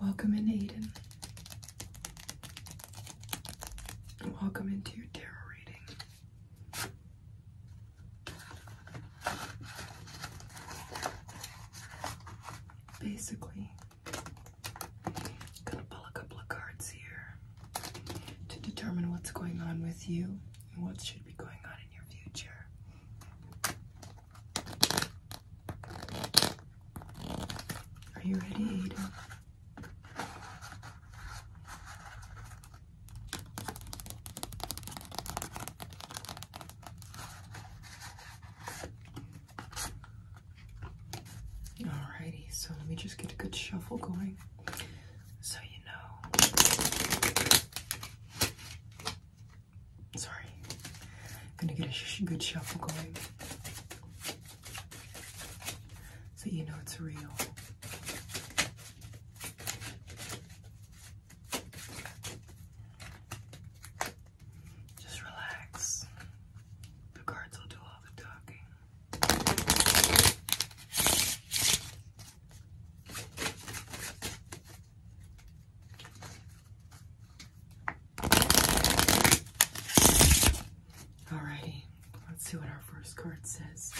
Welcome into Eden. Welcome into your tarot reading. Basically, gonna pull a couple of cards here to determine what's going on with you what should be going on in your future. Are you ready, Alrighty, so let me just get a good shuffle going so you know. Sorry. Gonna get a good shuffle going. So you know it's real. Just relax. The cards will do all the talking. Alrighty, let's see what our first card says.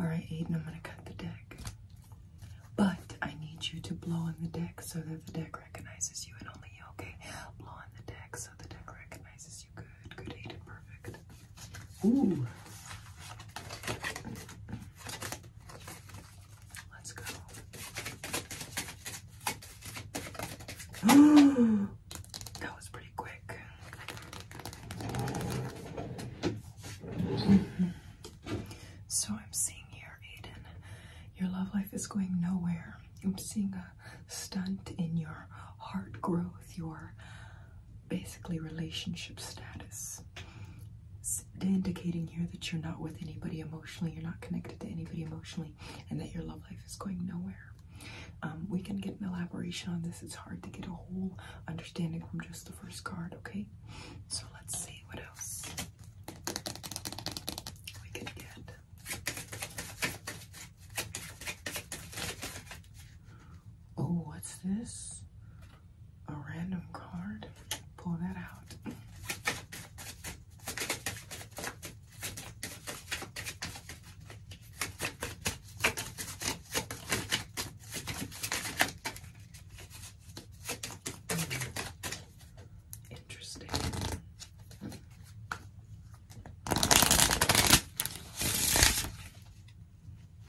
Alright, Aiden, I'm gonna cut the deck. But I need you to blow on the deck so that the deck recognizes you and only you. Okay, blow on the deck so the deck recognizes you. Good, good, Aiden, perfect. Ooh. Let's go. that was pretty quick. So I'm seeing here Aiden, your love life is going nowhere. I'm seeing a stunt in your heart growth, your basically relationship status. indicating here that you're not with anybody emotionally, you're not connected to anybody emotionally, and that your love life is going nowhere. Um, we can get an elaboration on this. It's hard to get a whole understanding from just the first card, okay? So let's see what Oh, what's this? A random card? Pull that out. Interesting.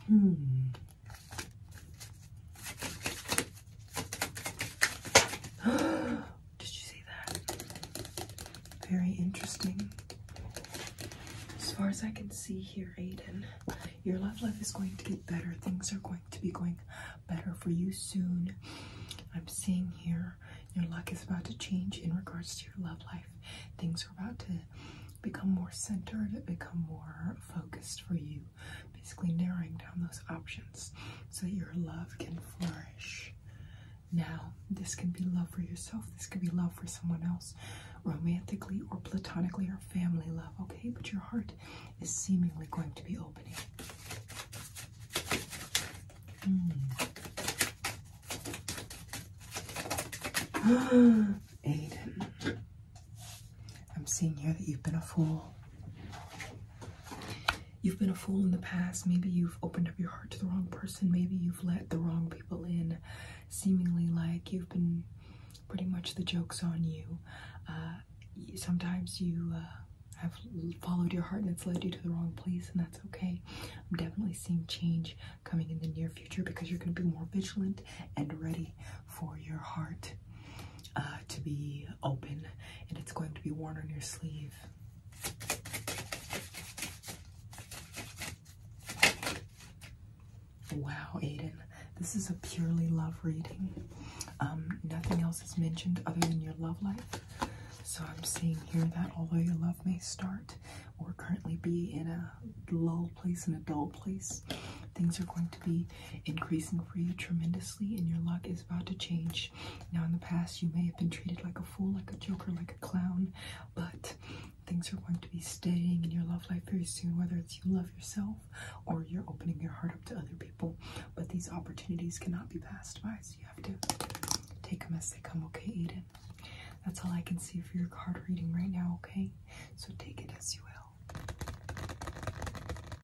Hmm. Did you see that? Very interesting. As far as I can see here, Aiden, your love life is going to get better. Things are going to be going better for you soon. I'm seeing here your luck is about to change in regards to your love life. Things are about to become more centered, become more focused for you. Basically, narrowing down those options so that your love can flourish. Now, this can be love for yourself, this can be love for someone else romantically or platonically or family love, okay? But your heart is seemingly going to be opening. Hmm. Aiden, I'm seeing here that you've been a fool. You've been a fool in the past. Maybe you've opened up your heart to the wrong person. Maybe you've let the wrong in, seemingly like you've been pretty much the joke's on you. Uh, sometimes you uh, have followed your heart and it's led you to the wrong place, and that's okay. I'm definitely seeing change coming in the near future because you're going to be more vigilant and ready for your heart uh, to be open, and it's going to be worn on your sleeve. Wow, Aiden, this is a purely love reading. Um, nothing else is mentioned other than your love life. So I'm seeing here that although your love may start or currently be in a lull place, in a dull place, things are going to be increasing for you tremendously and your luck is about to change now, in the past, you may have been treated like a fool, like a joker, like a clown, but things are going to be staying in your love life very soon, whether it's you love yourself or you're opening your heart up to other people. But these opportunities cannot be passed by, so you have to take them as they come, okay, Eden? That's all I can see for your card reading right now, okay? So take it as you will.